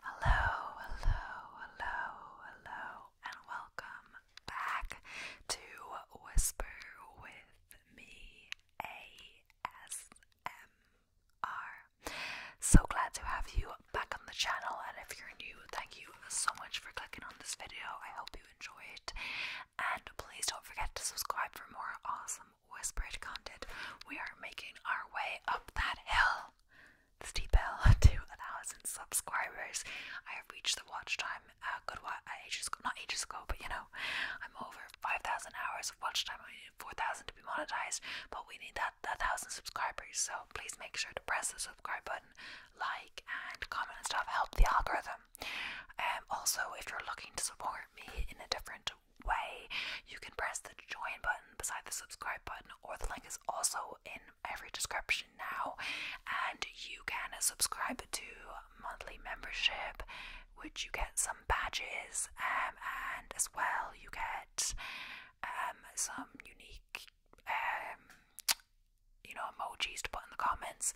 Hello, hello, hello, hello, and welcome back to Whisper with me ASMR. So glad to have you back on the channel, and if you're new, thank you so much for clicking on this video. I hope you enjoyed. And please don't forget to subscribe for more awesome whispered content. We are making our way up that hill, the steep hill, to thousand subscribers. I have reached the watch time good while, ages not ages ago, but you know, I'm over 5,000 hours of watch time. We need 4,000 to be monetized, but we need that, that 1,000 subscribers. So please make sure to press the subscribe button, like, and comment and stuff. Help the algorithm them. Um, also, if you're looking to support me in a different way, you can press the join button beside the subscribe button, or the link is also in every description now. And you can subscribe to monthly membership, which you get some badges, um, and as well, you get um, some unique. you know, emojis to put in the comments,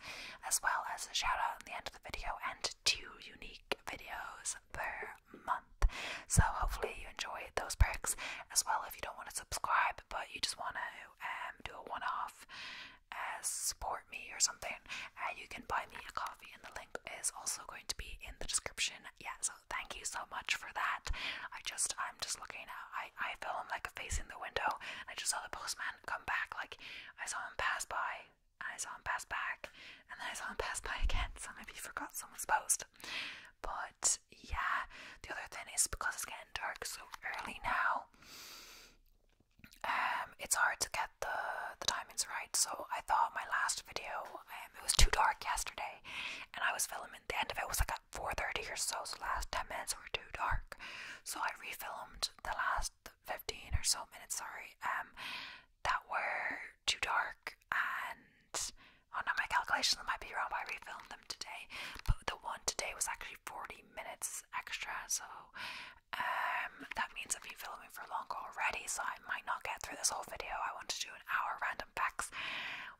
as well as a shout out in the end video and two unique videos per month. So hopefully you enjoy those perks as well if you don't want to subscribe but you just want to um, do a one-off uh, support me or something uh, you can buy me a coffee and the link is also going to be in the description yeah so thank you so much for that i just i'm just looking i i feel i'm like facing the window i just saw the postman come back. Like I saw him pass by, and I saw him pass back, and then I saw him pass by again. So maybe he forgot someone's post. But yeah, the other thing is because it's getting dark so early now. Um, it's hard to get the the timings right. So I thought my last video, um, it was too dark yesterday, and I was filming. The end of it was like at four thirty or so. So last ten minutes were too dark. So I refilmed the last 15 or so minutes, sorry, um, that were too dark and oh no, my calculations might be wrong, but I refilmed them today. But the one today was actually 40 minutes extra, so um, that means I've been filming for longer already, so I might not get through this whole video. I want to do an hour random facts.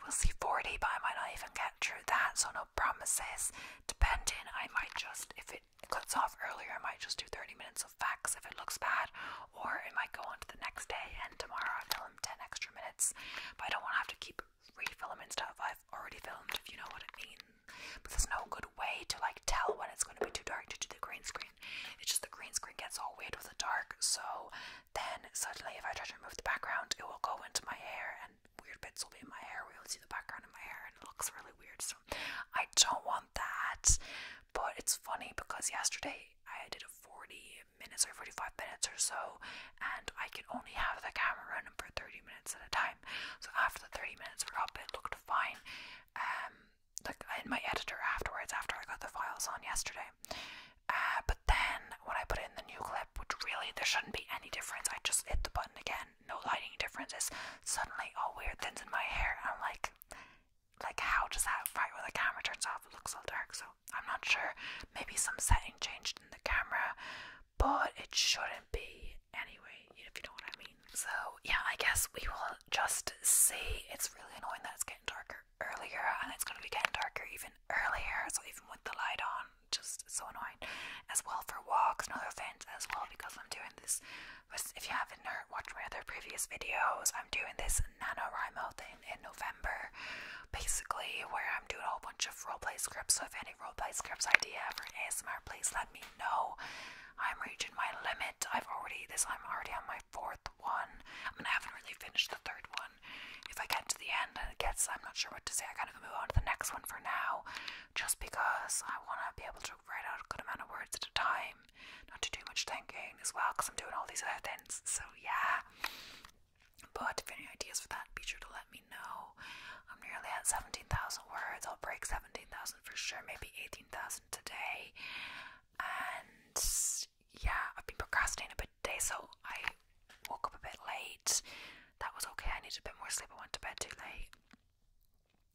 We'll see 40, but I might not even get through that, so no promises. Depending, I might just, if it it cuts off earlier, I might just do 30 minutes of facts if it looks bad, or it might go on to the next day and tomorrow I film 10 extra minutes. But I don't want to have to keep refilming stuff I've already filmed, if you know what I mean. But there's no good way to like tell when it's going to be too dark to do the green screen. It just the green screen gets all weird with the dark, so then suddenly if I try to remove the background, it will go into my hair and weird bits will be in my hair. We will see the background in my hair and it looks really weird. So I don't want that. But it's funny because yesterday I did a 40 minutes or 45 minutes or so, and I can only have the camera running for 30 minutes at a time. So after the 30 minutes were up, it looked fine. Um, like in my editor afterwards, after I got the files on yesterday. Uh, but then when I put in the new clip, which really there shouldn't be any difference, I just hit the button again no lighting differences. Suddenly, all weird things in my hair. I'm like, like how does that fight where the camera turns off? It looks all dark. So I'm not sure. Maybe some setting changed in the camera, but it shouldn't be anyway. If you know what I mean. So yeah, I guess we will just see. It's really annoying that it's getting darker earlier, and it's gonna be getting darker even earlier. So even with the light on, just so annoying as well for walks and other events as well because I'm doing this. If you haven't watched my other previous videos, I'm doing this NaNoWriMo thing in November basically where I'm doing a whole bunch of roleplay scripts. So if any roleplay scripts idea for ASMR, please let me know. I'm reaching my limit. I've already this. I'm already on my fourth one. I haven't really finished the third one. If I get to the end I guess I'm not sure what to say. I kind of move on to the next one for now just because I want to be able to write out a good amount of words at a time, not to do much thinking as well, because I'm doing all these other things. So, yeah. But if any ideas for that, be sure to let me know. I'm nearly at 17,000 words. I'll break 17,000 for sure, maybe 18,000 today. And yeah, I've been procrastinating a bit today, so I woke up a bit late. That was okay. I needed a bit more sleep. I went to bed too late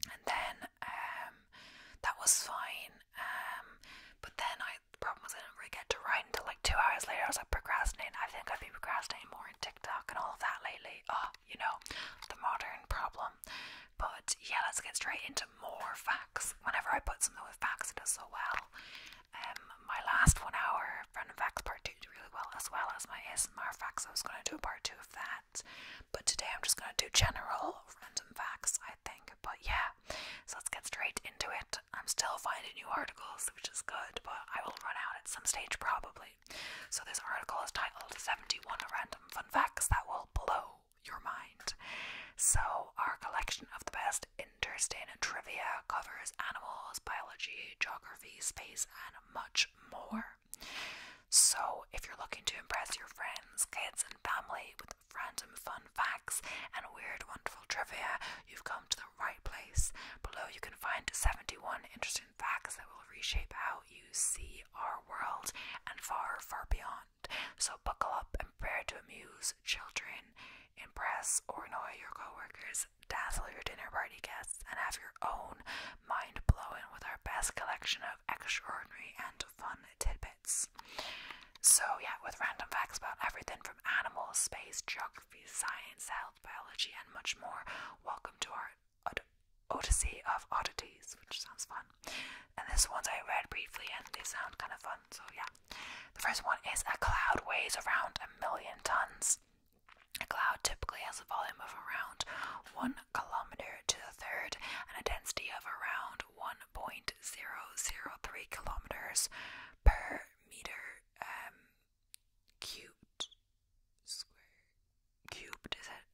and then um, that was fine. Um, but then I problem was I didn't really get to write until like two hours later. I was like procrastinating. I think I've been procrastinating more in TikTok and all of that lately. Ah, oh, you know, the modern problem. But yeah, let's get straight into more facts. Whenever I put something with facts, it does so well. Um, my last one hour random facts part two did really well, as well as my ASMR facts. I was going to do a part two of that. But today I'm just going to do general random facts, I think. But yeah, so let's get straight into it. I'm still finding new articles, which is good, but I will run out at some stage probably. So this article is titled 71 Random Fun Facts That Will Blow Your Mind. So our collection of the best interesting trivia covers animals, biology, geography, space, and much more. So, if you're looking to impress your friends, kids, and family with random fun facts and weird, wonderful trivia, you've come to the right place. Below, you can find 71 interesting facts that will reshape how you see our world and far, far beyond. So, buckle up and prepare to amuse children, impress or annoy your coworkers, dazzle your dinner party guests, and have your own, mind blowing with our best collection of extraordinary and fun tidbits. So, yeah, with random facts about everything from animals, space, geography, science, health, biology, and much more, welcome to our Odyssey of Oddities, which sounds fun. And this ones I read briefly and they sound kind of fun, so yeah. The first one is a cloud weighs around a million tons. A cloud typically has a volume of around 1 kilometer to the third and a density of around 1.003 kilometers per meter um, cubed. cubed, is it?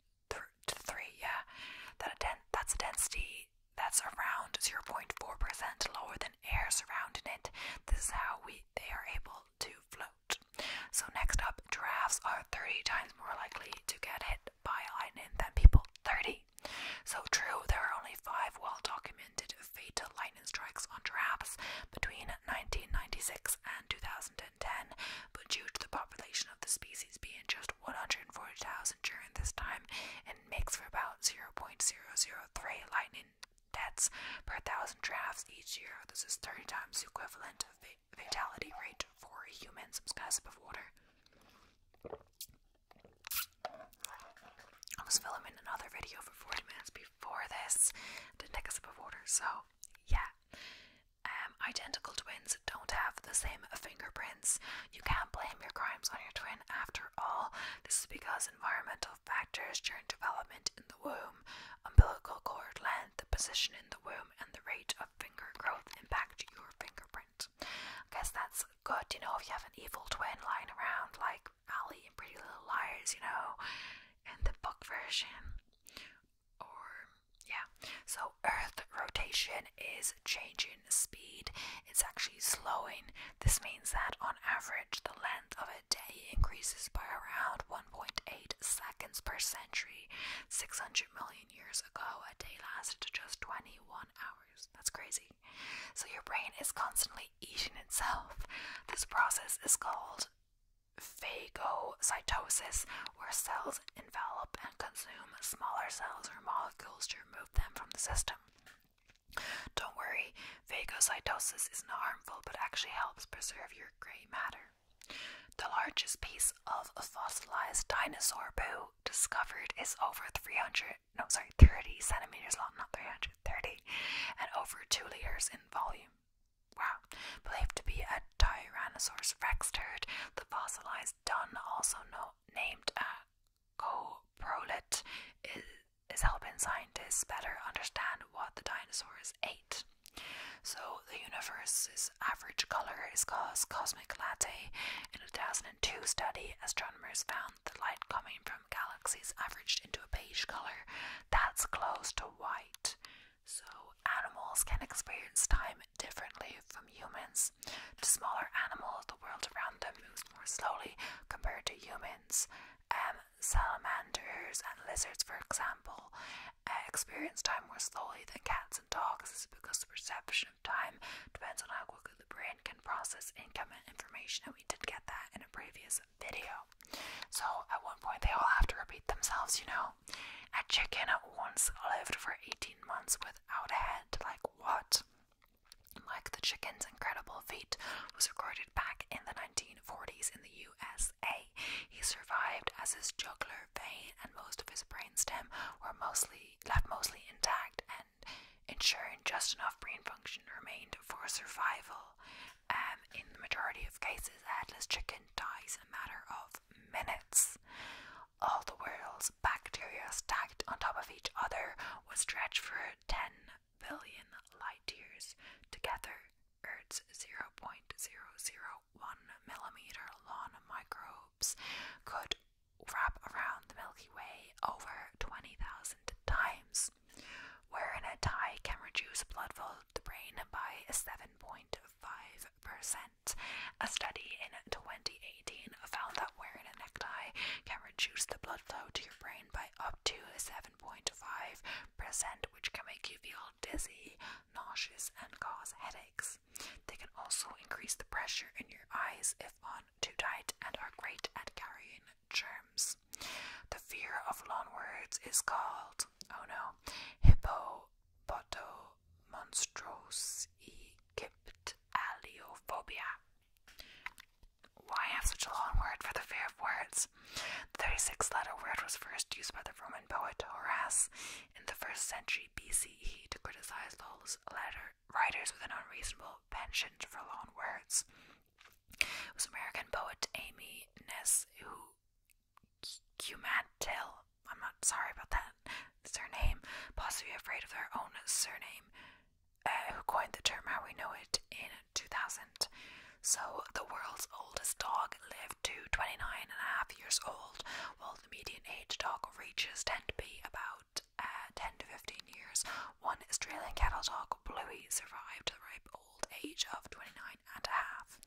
to 3, yeah. That a that's a density that's around 0.4% lower than air surrounding it. This is how we they are able to float. So, next up, giraffes are 30 times more likely to get hit by lightning than people 30. So, true, there are only five well documented fatal lightning strikes on giraffes between 1996 and 2010, but due to the population of the species being just 140,000 during this time, it makes for about 0.003 lightning deaths per thousand giraffes each year. This is 30 times the equivalent of fatality rate for humans because of water. I was filming another video for 40 minutes before this to take a sip of water, so yeah. Um, identical twins don't have the same fingerprints. You can't blame your crimes on your twin after all. This is because environmental factors during development in the womb, umbilical cord length, the position in the womb, and the rate of finger growth impact your fingerprint. I guess that's good, you know, if you have an evil twin lying around like Ally in Pretty Little Liars, you know, in the book version. Or, yeah. So, Earth rotation is changing speed, it's actually slowing. This means that on average, the length of a day increases by around 1.8 seconds per century 600 million years ago a day lasted just 21 hours that's crazy so your brain is constantly eating itself this process is called phagocytosis where cells envelop and consume smaller cells or molecules to remove them from the system don't worry, phagocytosis is not harmful but actually helps preserve your grey matter. The largest piece of a fossilized dinosaur poo discovered is over 300, no, sorry, 30 centimeters long, not 330, and over 2 liters in volume. Wow. Believed to be a Tyrannosaurus rex turd, the fossilized dung also no, named a uh, coprolite, is, is helping scientists better understand what the dinosaurs ate. So the universe's average color is called cosmic latte. In a 2002 study, astronomers found the light coming from galaxies averaged into a beige color that's close to white. So animals can experience time differently from humans. The smaller animal, the world around them moves more slowly compared to humans. Um, salamanders and lizards, for example, experience time more slowly than cats and dogs. is because the perception of time depends on how quickly the brain can process incoming information, and we did get that in a previous video. So at one point, they all have to repeat themselves, you know. A chicken once lived for 18 months without a head. Like, what? Like, the chicken's incredible feat was recorded back in the 1940s in the USA. He survived as his juggler vein and most of his brainstem were mostly left mostly intact and ensuring just enough brain function remained for survival. Um, in the majority of cases, a headless chicken dies in a matter of minutes. All the world's bacteria stacked on top of each other was stretched for 10 billion light years together Earth's 0.001 millimeter long microbes could wrap around the Milky Way over 20,000 times, Wearing a tie can reduce blood flow to the brain by 7.5%. A study in 2018 found that wearing a necktie can reduce the blood flow to your brain by up to 7.5%, which can make you feel dizzy, nauseous, and cause headaches. They can also increase the pressure in your eyes if on too tight and are great at carrying germs. The fear of long words is called, oh no, hippopotomonstrosygyptaleophobia. Why have such a long word for the fear of words? The 36 letter word was first used by the Roman poet Horace in the first century BCE to criticize those letter writers with an unreasonable penchant for long words. was American poet Amy Ness who Cumantel, I'm not sorry about that surname, possibly afraid of their own surname, uh, who coined the term how we know it in 2000. So, the world's oldest dog Lived to 29 and a half years old, while the median age dog reaches tend to be about uh, 10 to 15 years. One Australian cattle dog, Bluey, survived the ripe old age of 29 and a half.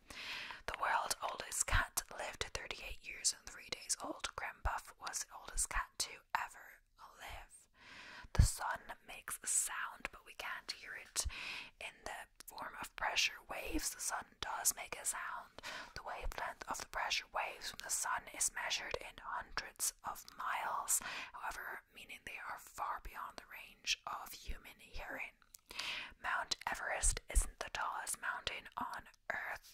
The world's oldest cat lived to 38 years and 3 days old. Grim Buff was the oldest cat to ever live. The sun makes a sound, but we can't hear it in the form of pressure waves, the sun does make a sound. The wavelength of the pressure waves from the sun is measured in hundreds of miles, however, meaning they are far beyond the range of human hearing. Mount Everest isn't the tallest mountain on Earth.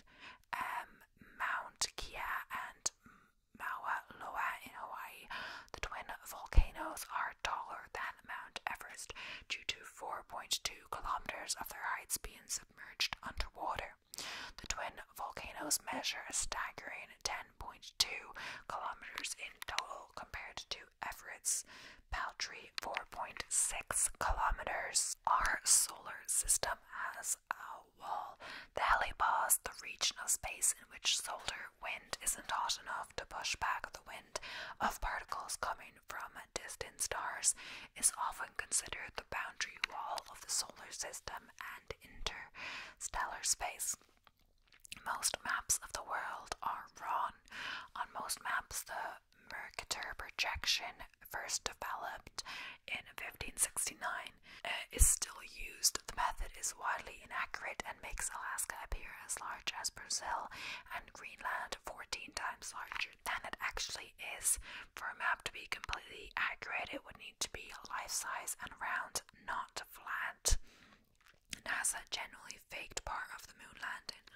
Um, Mount Kia and Mauna Loa in Hawaii, the twin volcanoes, are taller than Mount Everest due to 4.2 kilometers of their heights being submerged underwater. The twin volcanoes measure a staggering 10.2 kilometers in total compared to Everest's paltry 4.6 kilometers. Our solar system has a wall, the heliopause, the region of space in which solar wind isn't hot enough to push back the wind of particles coming from and distant stars is often considered the boundary wall of the solar system and interstellar space. Most maps of the world are wrong. On most maps, the Mercator projection, first developed in 1569, uh, is still used. The method is wildly inaccurate and makes Alaska appear as large as Brazil and Greenland 14 times larger than it actually is. For a map to be completely accurate, it would need to be life size and round, not flat. NASA generally faked part of the moon landing,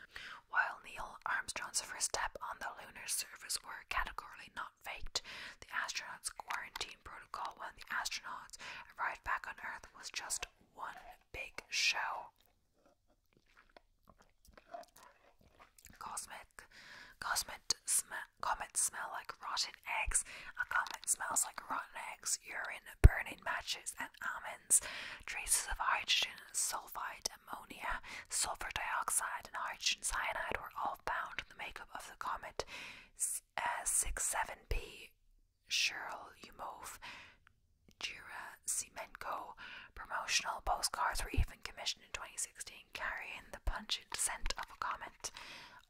while Neil Armstrong's first step on the lunar surface were categorically not faked. The astronauts' quarantine protocol when the astronauts arrived back on Earth was just one big show. Cosmic, cosmic comets smell like rotten eggs. A comet smells like rotten eggs, urine, burning matches, and almonds. Traces of hydrogen, sulfide, ammonia, sulfur dioxide, and hydrogen cyanide were all found in the makeup of the comet S uh, 67P. Cheryl move. Gerasimenko promotional postcards were even commissioned in 2016, carrying the pungent scent of a comet.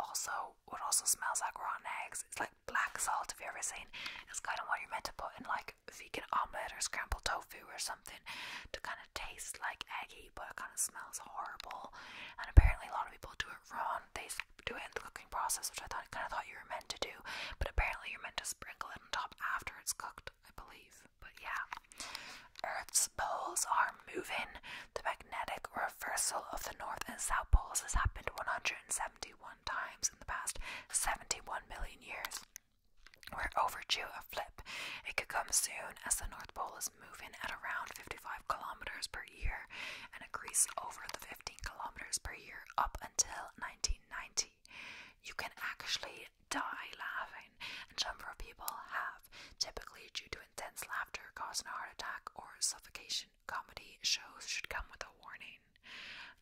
Also, it also smells like rotten eggs It's like black salt. if you ever seen? It's kind of what you're meant to put in like vegan omelette or scrambled tofu or something to kind of taste like eggy, but it kind of smells horrible. And apparently, a lot of people do it wrong. They do it in the cooking process, which I thought kind of thought you were meant to do, but apparently you're meant to sprinkle it top after it's cooked, I believe. But yeah. Earth's poles are moving. The magnetic reversal of the North and South poles has happened 171 times in the past 71 million years. We're overdue a flip. It could come soon as the North Pole is moving at around 55 kilometers per year and increased over the 15 kilometers per year up until 1990. You can actually die laughing, and a number of people have, typically due to intense laughter causing a heart attack or suffocation. Comedy shows should come with a warning.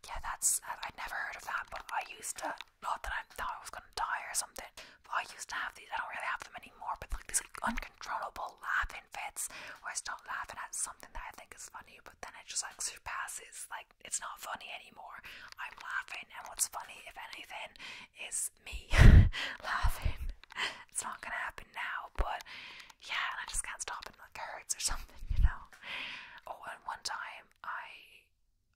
Yeah, that's i never heard of that, but I used to not that I thought I was gonna die or something. But I used to have these. I don't really have them anymore, but like these like uncontrollable laughing fits where I start laughing at something that I think is funny, but then it just like surpasses like it's not funny anymore. I'm laughing, and what's funny, if anything, is me laughing. It's not gonna happen now, but yeah, and I just can't stop it like hurts or something, you know. Oh, and one time I,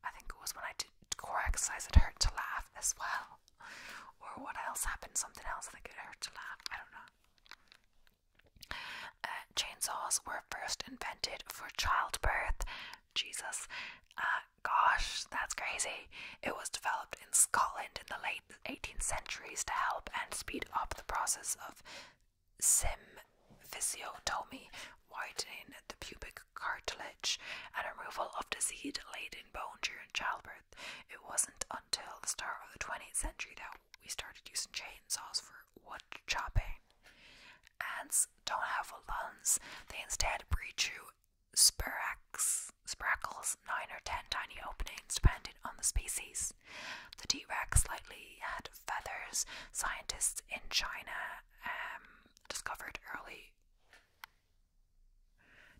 I think it was when I did core exercise, it hurt to laugh as well. Or what else happened? Something else that could hurt to laugh. I don't know. Uh, chainsaws were first invented for childbirth. Jesus. Uh, gosh, that's crazy. It was developed in Scotland in the late 18th centuries to help and speed up the process of symphysiotomy, widening the pubic cartilage, and removal of disease in bone during childbirth. It wasn't until the start of the 20th century though, we started using chainsaws for wood chopping. Ants don't have lungs, they instead breathe through spirax, spiracles, nine or ten tiny openings depending on the species. The T Rex likely had feathers. Scientists in China um, discovered early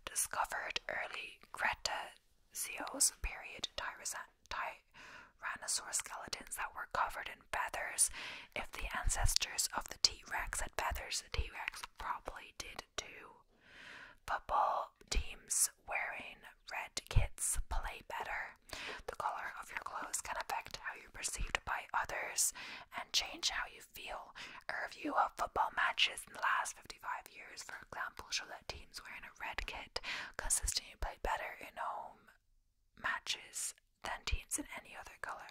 discovered early Cretaceous period tyrosan, ty by skeletons that were covered in feathers. If the ancestors of the T Rex had feathers, the T Rex probably did too. Football teams wearing red kits play better. The color of your clothes can affect how you're perceived by others and change how you feel. A review of football matches in the last 55 years, for example, show teams wearing a red kit consistently played better in home matches than teams in any other color.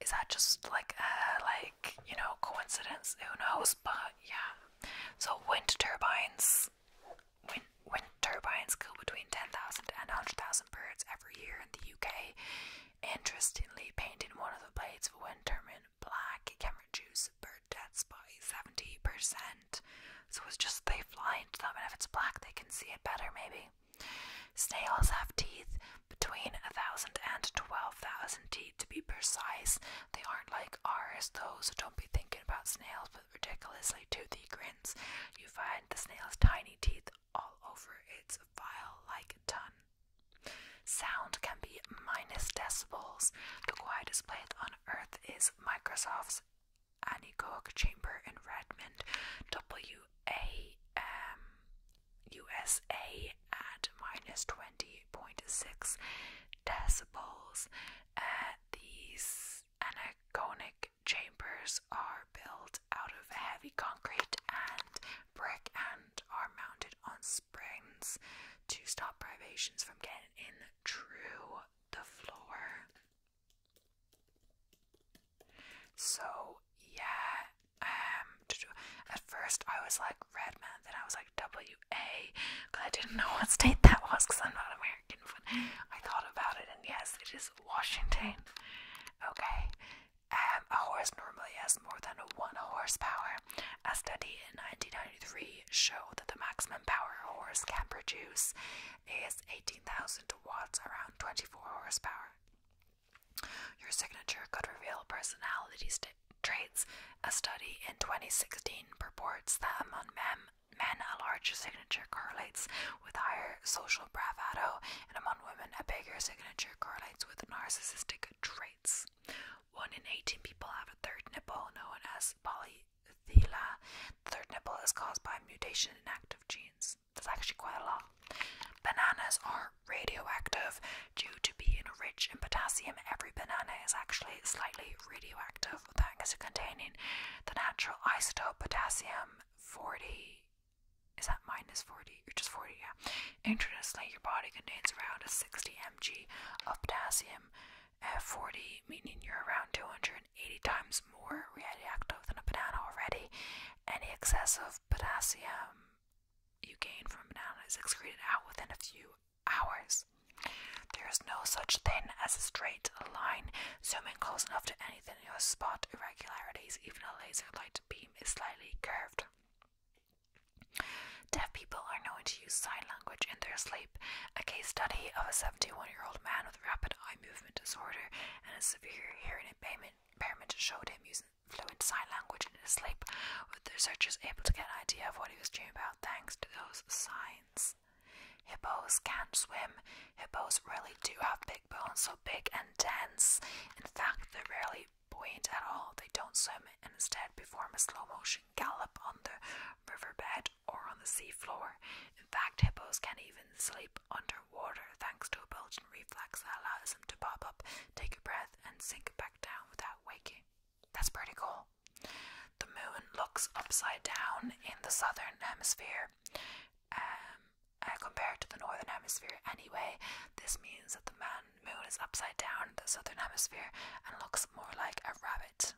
Is that just like a uh, like you know coincidence? Who knows? But yeah. So wind turbines, wind, wind turbines kill between 10,000 and 100,000 birds every year in the UK. Interestingly, painting one of the blades of a wind turbine black can reduce bird deaths by 70%. So it's just they've lined them, and if it's black, they can see it better, maybe. Snails have teeth between 1,000 and 12,000 teeth to be precise. They aren't like ours, though, so don't be thinking about snails with ridiculously toothy grins. You find the snail's tiny teeth all over its file like tongue. Sound can be minus decibels. The quietest place on earth is Microsoft's Aniconic chamber in Redmond, WAM at minus 20.6 decibels. Uh, these anechoic chambers are built out of heavy concrete and brick and are mounted on springs to stop privations from getting in through the floor. So yeah, um, at first I was like Redmond, then I was like WA, because I didn't know what state that was because I'm not American. I thought about it, and yes, it is Washington. Okay, um, a horse normally has more than one horsepower. A study in 1993 show that the maximum power a horse can produce is 18,000 watts, around 24 horsepower. Your signature could reveal personality traits. A study in 2016 reports that among men, men a larger signature correlates with higher social bravado, and among women, a bigger signature correlates with narcissistic traits. One in 18 people have a third nipple, known as poly the third nipple is caused by mutation in active genes. That's actually quite a lot. Bananas are radioactive due to being rich in potassium. Every banana is actually slightly radioactive, because it contains the natural isotope potassium 40. Is that minus 40 or just 40? Yeah. Interestingly, your body contains around a 60 mg of potassium at 40, meaning you're around 280 times more reactive than a banana already. Any excess of potassium you gain from a banana is excreted out within a few hours. There is no such thing as a straight line. Zooming close enough to anything, you'll spot irregularities. Even a laser light beam is slightly curved. Deaf people are known to use sign language in their sleep. A case study of a 71 year old man with rapid eye movement disorder and a severe hearing impairment, showed him using fluent sign language in his sleep, with the researchers able to get an idea of what he was dreaming about thanks to those signs. Hippos can't swim. Hippos really do have big bones, so big and dense. In fact, they're rarely buoyant at all. They don't swim and instead perform a slow motion gallop on the riverbed or on the seafloor. In fact, hippos can even sleep underwater thanks to a bulging reflex that allows them to pop up, take a breath, and sink back down without waking. That's pretty cool. The moon looks upside down in the southern hemisphere. Um, uh, compared to the northern hemisphere anyway. This means that the moon is upside down in the southern hemisphere and looks more like a rabbit.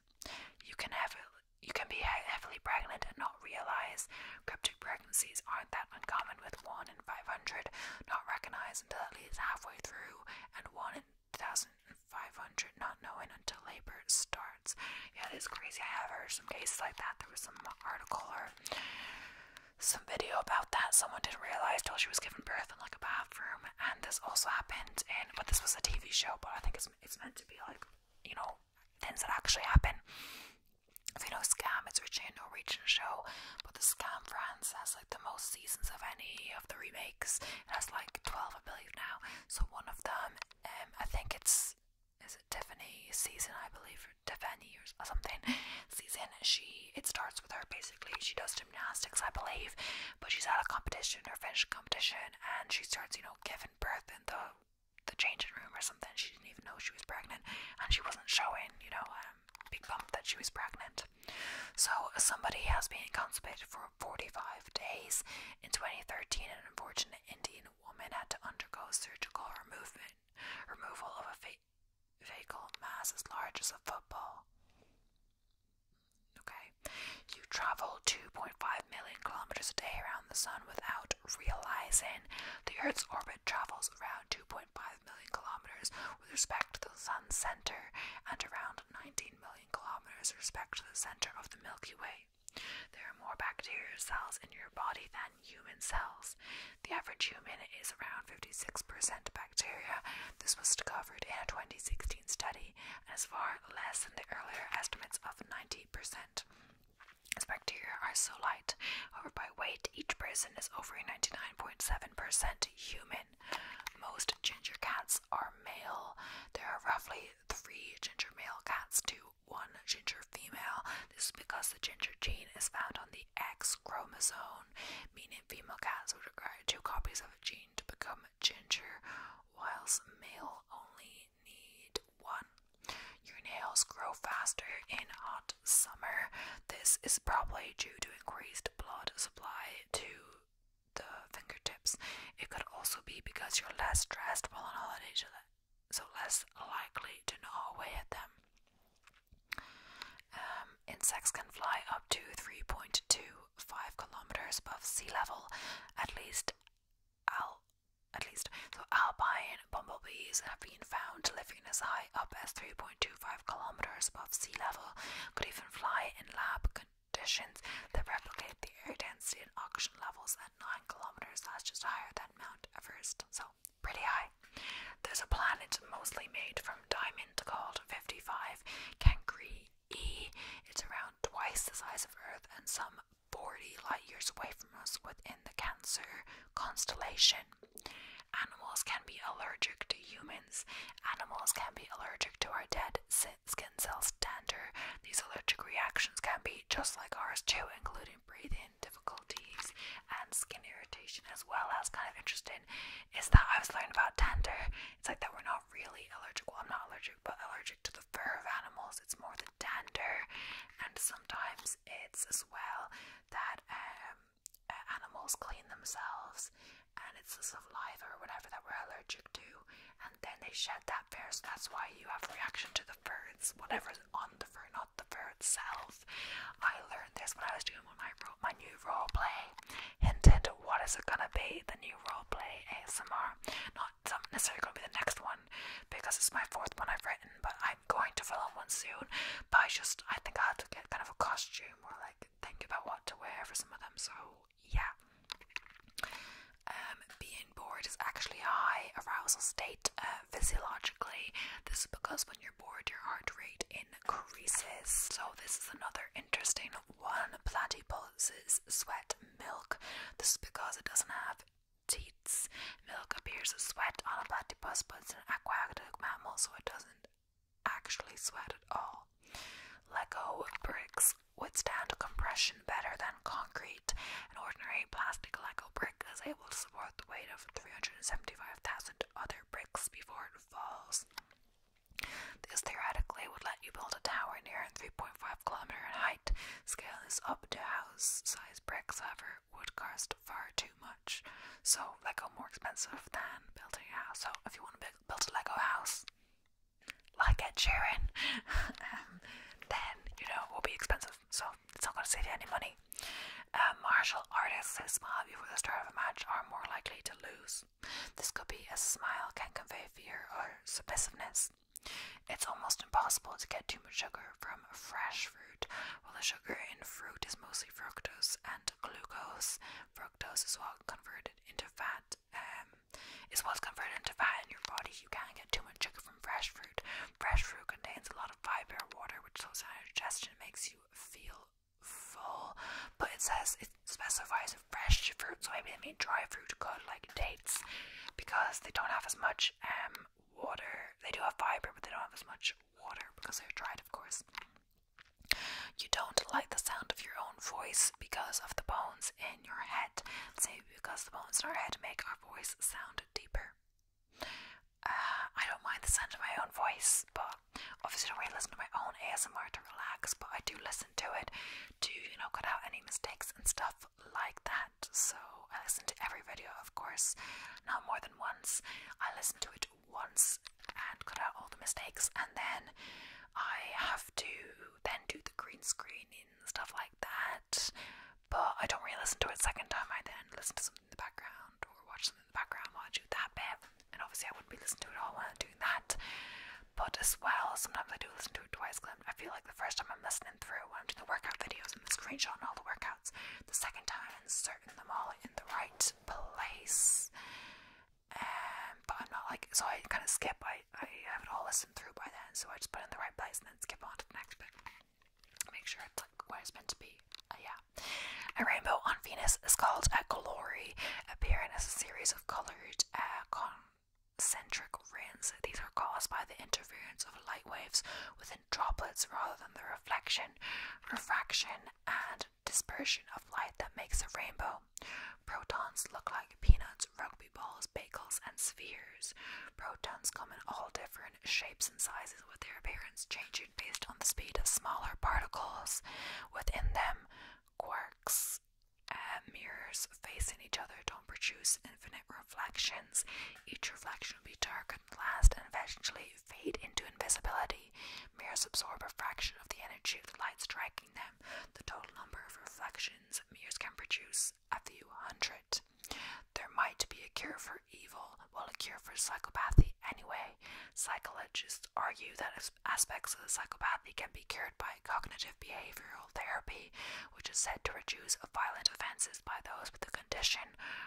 You can heavily, you can be heavily pregnant and not realize. Cryptic pregnancies aren't that uncommon, with 1 in 500 not recognized until at least halfway through, and 1 in 2,500 not knowing until labor starts. Yeah, it is crazy. I have heard some cases like that. There was some article or some video about that. Someone didn't realize till she was given birth in like a bathroom, and this also happened in. But this was a TV show, but I think it's it's meant to be like you know, things that actually happen. So, you know, Scam, it's originally a Norwegian show, but the Scam France has like the most seasons of any of the remakes. It has like 12, I believe, now. So, one of them, um, I think it's, is it Tiffany season, I believe, or Tiffany or something season. She, it starts with her basically. She does gymnastics, I believe, but she's at a competition, her Finnish competition, and she starts, you know, giving birth in the the changing room or something. She didn't even know she was pregnant, and she wasn't showing, you know, um, big bump that she was pregnant. So somebody has been constipated for 45 days. In 2013, an unfortunate Indian woman had to undergo surgical removal removal of a fa fecal mass as large as a football. Okay? You travel 2.5 million kilometers a day around the sun without realizing the Earth's orbit travels around 2.5 million kilometers with respect to the sun's center and around 19 million kilometers with respect to the center of the Milky Way. There are more bacterial cells in your body than human cells. The average human is around 56% bacteria. This was discovered in a 2016 study and is far less than the earlier estimates of 90%. As bacteria are so light, however, by weight, each person is over 99.7% human. Most ginger cats are male. There are roughly three ginger male cats to one ginger female. This is because the ginger gene is found on the X chromosome, meaning female cats would require two copies of a gene to become ginger, whilst male only need one. Your nails grow faster in hot summer. This is probably due to increased blood supply to the fingertips. It could also be because you're less stressed while on holiday, so less likely to gnaw away at them. Um, insects can fly up to 3.25 kilometers above sea level, at least al at least so alpine bumblebees have been found living as high up as 3.25 kilometers above sea level, could even fly in lab conditions that replicate the air density and oxygen levels at 9 kilometers, that's just higher than Mount Everest. So pretty high. There's a planet mostly made from diamond called 55 Cancri E. It's around twice the size of Earth and some 40 light years away from us within the Cancer constellation. Animals can be allergic to humans. Animals can be allergic to our dead skin cells Tender. These allergic reactions can be just like ours too, including breathing difficulties and skin irritation as well. That's kind of interesting is that I was learning about tender. It's like that we're not really allergic. Well, I'm not allergic, but allergic to the fur of animals, it's more the dander, and sometimes it's as well that um, uh, animals clean themselves and it's the saliva or whatever that we're allergic to, and then they shed that fur, that's why you have reaction to the fur. It's whatever's on the fur, not the fur itself. I learned this when I was doing when I wrote my new role play. Hint, hint, what is it gonna be? The new role play ASMR. It's not necessarily going to be the next one because it's my fourth one I've written, but I'm going to film one soon. But I just, I think I have to get kind of a costume or like think about what to wear for some of them. So yeah. Um, being bored is actually a high arousal state uh, physiologically. This is because when you're bored, your heart rate increases. So this is another interesting one. Platypuses sweat milk. This is because it doesn't have teats. Milk appears as sweat on a platypus, but it's an aquatic mammal, so it doesn't actually sweat at all. Lego bricks withstand compression better than concrete. An ordinary plastic Lego brick is able to support the weight of 375,000 other bricks before it falls. This theoretically would let you build a tower near 3.5 kilometer in height Scale is up to house size bricks, however, would cost far too much. So Lego more expensive than building a house. So if you want to build a Lego house, like Ed Sheeran, um, then you know will be expensive. So it's not going to save you any money. Uh, martial artists who smile before the start of a match are more likely to lose. This could be a smile can convey fear or submissiveness. It's almost impossible to get too much sugar from fresh fruit. While the sugar in fruit is mostly fructose and glucose, fructose is well converted into fat. Um, is what's converted into fat in your body. You can't get too much sugar from fresh fruit. Fresh fruit contains a lot of fiber, water, which slows down digestion, makes you feel full. But it says it specifies fresh fruit, so maybe they mean dry fruit good like dates, because they don't have as much um water. They do have fiber, but they don't have as much water because they're dried, of course. You don't like the sound of your own voice because of the bones in your head. Say because the bones in our head make our voice sound deeper. Uh, I don't mind the sound of my own voice, but obviously don't really listen to my own ASMR to relax. But I do listen to it to you know cut out any mistakes and stuff like that. So I listen to every video, of course, not more than once. I listen to it once and cut out all the mistakes, and then I have to then do the green screen and stuff like that. But I don't really listen to it second time. I then listen to something in the background or watch something in the background while I do that bit. And obviously, I wouldn't be listening to it all while doing that. But as well, sometimes I do listen to it twice I feel like the first time I'm listening through when I'm doing the workout videos and the screenshot and all the workouts, the second time I'm inserting them all in the right place. Um, but I'm not like, so I kind of skip, I, I have it all listened through by then, so I just put it in the right place and then skip on to the next bit. Make sure it's like what it's meant to be. Uh, yeah. A rainbow on Venus is called a glory, appearing as a series of colored uh, concentric rings. These are caused by the interference of light waves within droplets rather than the reflection, refraction, and dispersion of light that makes a rainbow. Protons look like peanuts, rugby balls, bagels, and spheres. Protons come in all different shapes and sizes, with their appearance changing based on the speed of smaller particles within them. Quarks uh, mirrors facing each other don't produce infinite reflections. Each reflection will be dark and last and eventually fade into invisibility. Mirrors absorb a fraction of the energy of the light striking them. The total number of reflections mirrors can produce a few hundred. There might be a cure for evil, well, a cure for psychopathy anyway. Psychologists argue that aspects of the psychopathy can be cured by cognitive behavioral therapy, which is said to reduce violent offenses by those with the condition.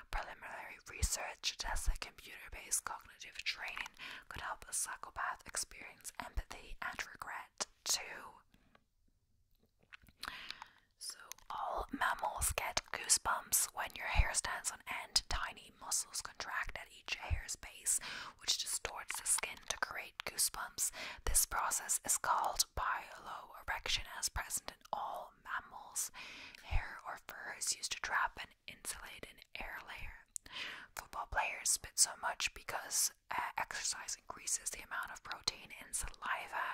Preliminary research suggests that computer based cognitive training could help a psychopath experience empathy and regret too. So, all mammals get goosebumps when your hair stands on end, tiny muscles contract at each hair's base, which distorts the skin to create goosebumps. This process is called piloerection as present in all mammals. Hair or fur is used to trap and insulate an air layer. Football players spit so much because uh, exercise increases the amount of protein in saliva.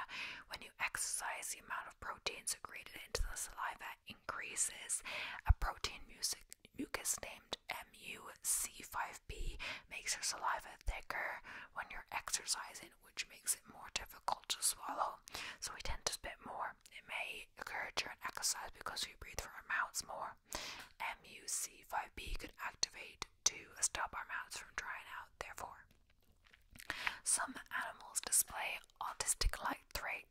When you exercise, the amount of protein secreted into the saliva increases. A protein music, mucus named MUC5B makes your saliva thicker when you're exercising, which makes it more difficult to swallow. So we tend to spit more. It may occur during exercise because we breathe through our mouths more. MUC5B could activate to stop our mouths from drying out, therefore. Some animals display autistic-like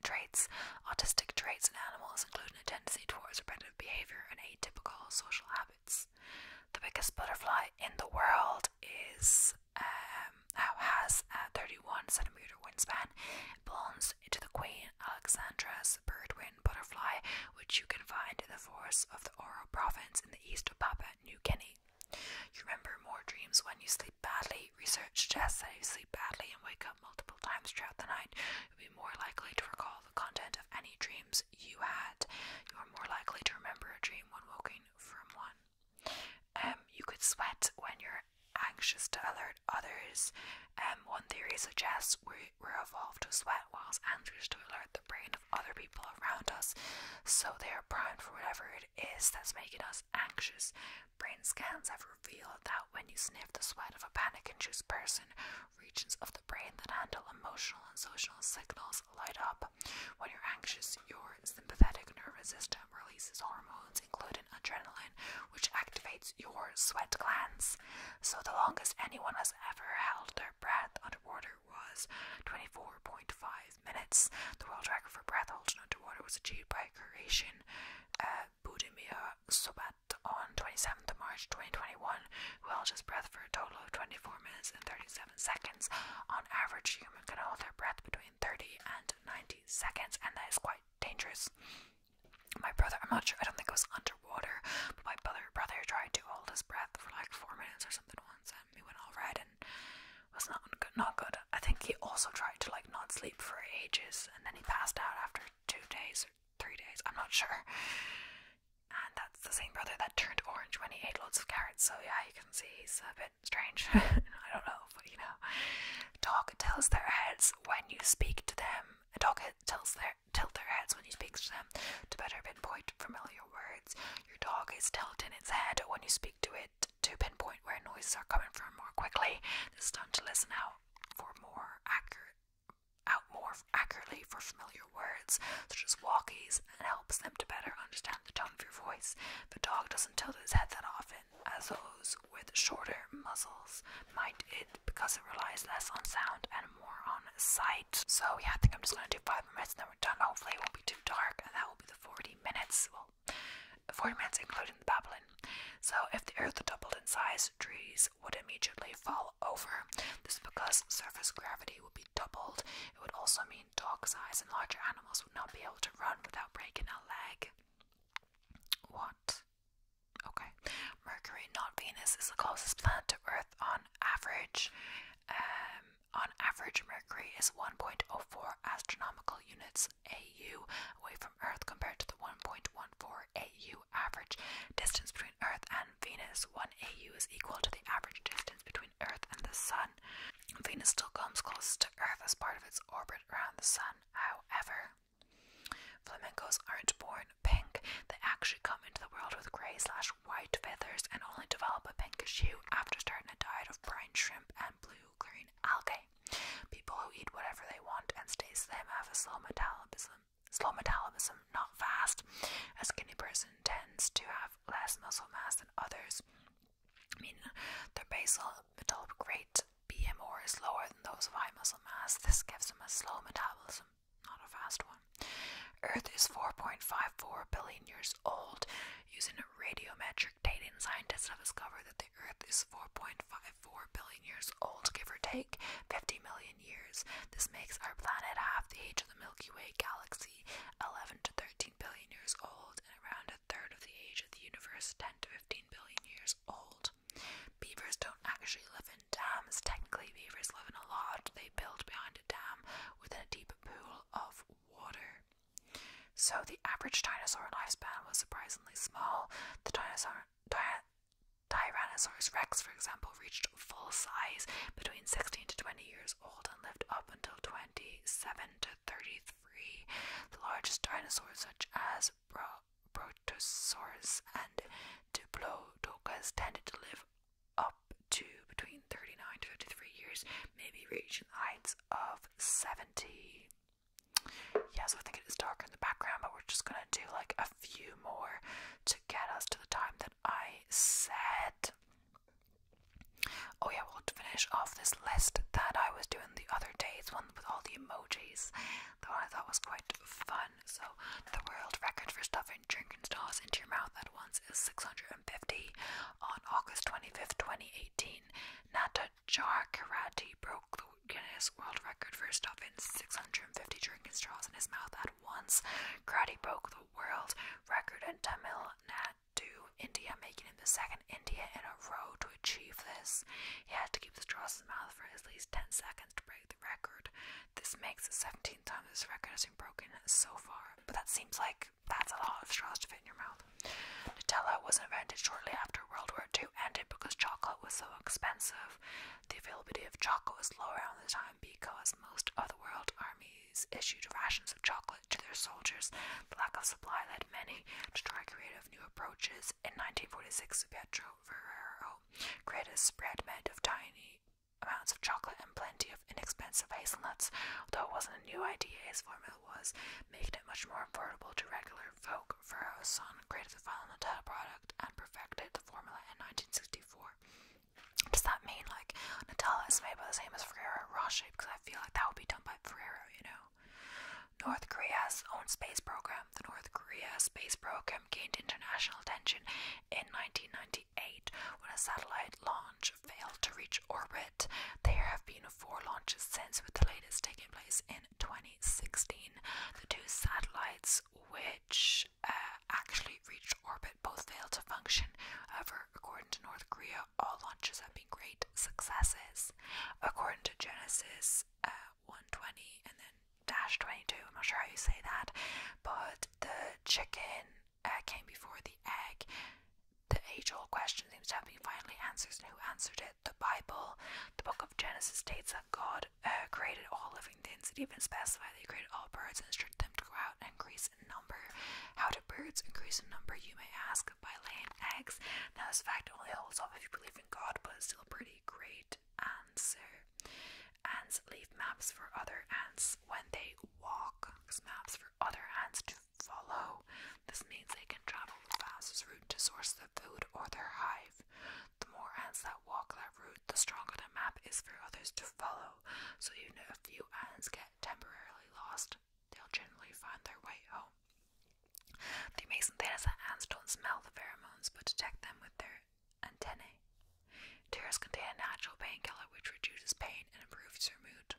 traits. Autistic traits in animals include a tendency towards repetitive behavior and atypical social habits. The biggest butterfly in the world is um, has a 31 centimeter wingspan. It belongs to the Queen Alexandra's birdwing butterfly, which you can find in the forests of the Oro province in the east of Papua New Guinea. You remember more dreams when you sleep badly. Research suggests that if you sleep badly and wake up multiple times throughout the night, be more likely to recall the content of any dreams you had. You are more likely to remember a dream when woken from one. Um, you could sweat when you're anxious to alert others. Um, one theory suggests we were evolved to sweat whilst anxious to alert the brain of other people around us, so they are primed for whatever it is that's making us anxious. Brain scans have revealed that when you sniff the sweat of a panic induced person, regions of the brain that handle emotional and social signals light up. When you're anxious, your sympathetic nervous system releases hormones, including adrenaline, which activates your sweat glands. So, the longest anyone has ever held their breath underwater was 24.5 minutes. The world record for breath holding underwater was achieved by Croatian uh, Budimir Sobat on 27 7th March 2021, who held his breath for a total of 24 minutes and 37 seconds. On average, a human can hold their breath between 30 and 90 seconds, and that is quite dangerous. My brother, I'm not sure, I don't think it was underwater, but my brother, brother tried to hold his breath for like four minutes or something once, and he went all red and was not good, not good. I think he also tried to like not sleep for ages, and then he passed out after two days or three days. I'm not sure. And that's the same brother that turned orange when he ate loads of carrots. So yeah, you can see he's a bit strange. I don't know, but you know, dog tilts their heads when you speak to them. A dog tilts their tilt their heads when you speak to them to better pinpoint familiar words. Your dog is tilting its head when you speak to it to pinpoint where noises are coming from more quickly. This time to listen out for more accurate out more accurately for familiar words, such as walkies, and helps them to better understand the tone of your voice. The dog doesn't tilt his head that often, as those with shorter muzzles might it, because it relies less on sound and more on sight. So yeah, I think I'm just gonna do five minutes and then we're done. Hopefully it won't be too dark, and that will be the 40 minutes. Well, 40 minutes including the babbling. So if the earth doubled in size, trees would immediately fall over. This is because surface gravity would be doubled. It would also mean dog size and larger animals would not be able to run without breaking a leg. What? Okay. Mercury, not Venus, is the closest planet to Earth on average. Um, on average, Mercury is 1.04 astronomical units AU away from Earth compared to the 1.14 AU average distance between Earth and Venus, 1 AU is equal to the average distance between Earth and the Sun. Venus still comes closest to Earth as part of its orbit around the Sun, however. Flamingos aren't born pink, they actually come into the world with grey slash white feathers and only develop a pinkish hue after starting a diet of brine shrimp and blue green algae. People who eat whatever they want and stay slim have a slow metabolism slow metabolism, not fast. A skinny person tends to have less muscle mass than others, meaning their basal metabolic rate BMR is lower than those of high muscle mass. This gives them a slow metabolism, not a fast one. Earth is 4.54 billion years old. Using radiometric dating, scientists have discovered that the Earth is 4.54 billion years old, give or take. 50 million years. This makes our planet half the age of the Milky Way galaxy, 11 to 13 billion years old, and around a third of the age of the universe, 10 to 15 billion years old. Beavers don't actually live in dams. Technically, beavers live in a lodge they build behind a dam within a deep pool of water. So, the average dinosaur lifespan was surprisingly small. The dinosaur. Di Tyrannosaurus rex, for example, reached full size between 16 to 20 years old and lived up until 27 to 33. The largest dinosaurs, such as Bro Protosaurus and Diplodocus, tended to live up to between 39 to 53 years, maybe reaching heights of 70. Yeah, so I think it is darker in the background, but we're just gonna do like a few more get us to the time that I said. Oh, yeah, we'll finish off this list that I was doing the other day. It's one with all the emojis. The one I thought was quite fun. So, the world record for stuffing drinking straws into your mouth at once is 650 on August 25th, 2018. Nata Jarkarati broke the Guinness World Record for stuffing 650 drinking straws in his mouth at once. Crowdy broke the world record in Tamil Nadu, India, making him the second India in a row to achieve this. He had to keep the straws in his mouth for at least 10 seconds to break the record. This makes the 17th time this record has been broken so far. But that seems like that's a lot of straws to fit in your mouth. Nutella was invented shortly after World War II ended because chocolate was so expensive. The availability of chocolate was low around this time because most of the world armies issued rations of chocolate to their soldiers. The lack of supply led many to try creative new approaches. In 1946, Pietro Ferrero created a spread made of tiny amounts of chocolate and plenty of inexpensive hazelnuts. Though it wasn't a new idea, his formula was making it much more affordable to regular folk. Ferrero's son created the final Nutella product and perfected the formula in 1964. Does that mean like Nutella is made by the same as Ferrero Rocher? Because I feel like that would be done by Ferrero, you know. North Korea's own space program. The North Korea space program gained international attention in 1998 when a satellite launch failed to reach orbit. There have been four launches since, with the latest taking place in 2016. The two satellites, which uh, actually reached orbit both failed to function. However, according to North Korea, all launches have been great successes. According to Genesis uh, 120 and then dash 22, I'm not sure how you say that, but the chicken uh, came before the egg. The age old question seems to have been finally answered. And who answered it? The Bible. The book of Genesis states that God created all living Huntington's, it even specified they create all birds and instruct them to go out and increase in number. How do birds increase in number, you may ask? By laying eggs. Now, this fact only holds up if you believe in God, but it's still a pretty great answer. Ants leave maps for other ants when they walk. maps for other ants to follow. This means they can travel the fastest route to source their food or their hive. The more ants that walk that route, the stronger the map is for others to follow, so even if a few ants get temporarily lost, they'll generally find their way home. The amazing thing is that ants don't smell the pheromones but detect them with their antennae. Tears contain a natural painkiller which reduces pain and improves your mood.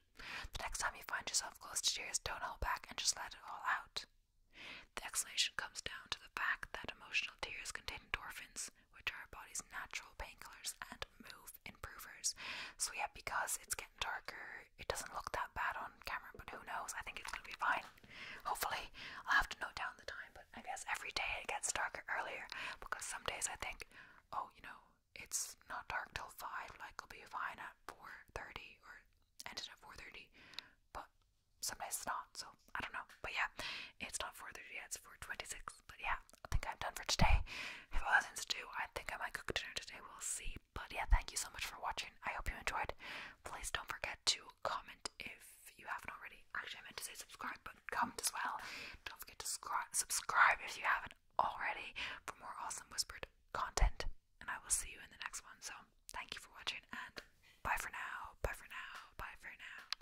The next time you find yourself close to tears, don't hold back and just let it all out. The explanation comes down to the fact that emotional tears contain endorphins, which are our body's natural painkillers and move improvers. So, yeah, because it's getting darker, it doesn't look that bad on camera, but who knows? I think it's gonna be fine. Hopefully, I'll have to note down the time, but I guess every day it gets darker earlier because some days I think, oh, you know, it's not dark till 5, like, it'll be fine at 4.30 or ended at 4.30, but some days it's not, so I don't know. But yeah, it's not 4.30 yet, it's 4.26. But yeah, I think I'm done for today. I have things to do. I think I might cook dinner today, we'll see. But yeah, thank you so much for watching. I hope you enjoyed. Please don't forget to comment if you haven't already. Actually, I meant to say subscribe, but comment as well. Don't forget to subscribe if you haven't already for more awesome whispered content. And I will see you in the next one. So thank you for watching and bye for now. Bye for now. Bye for now.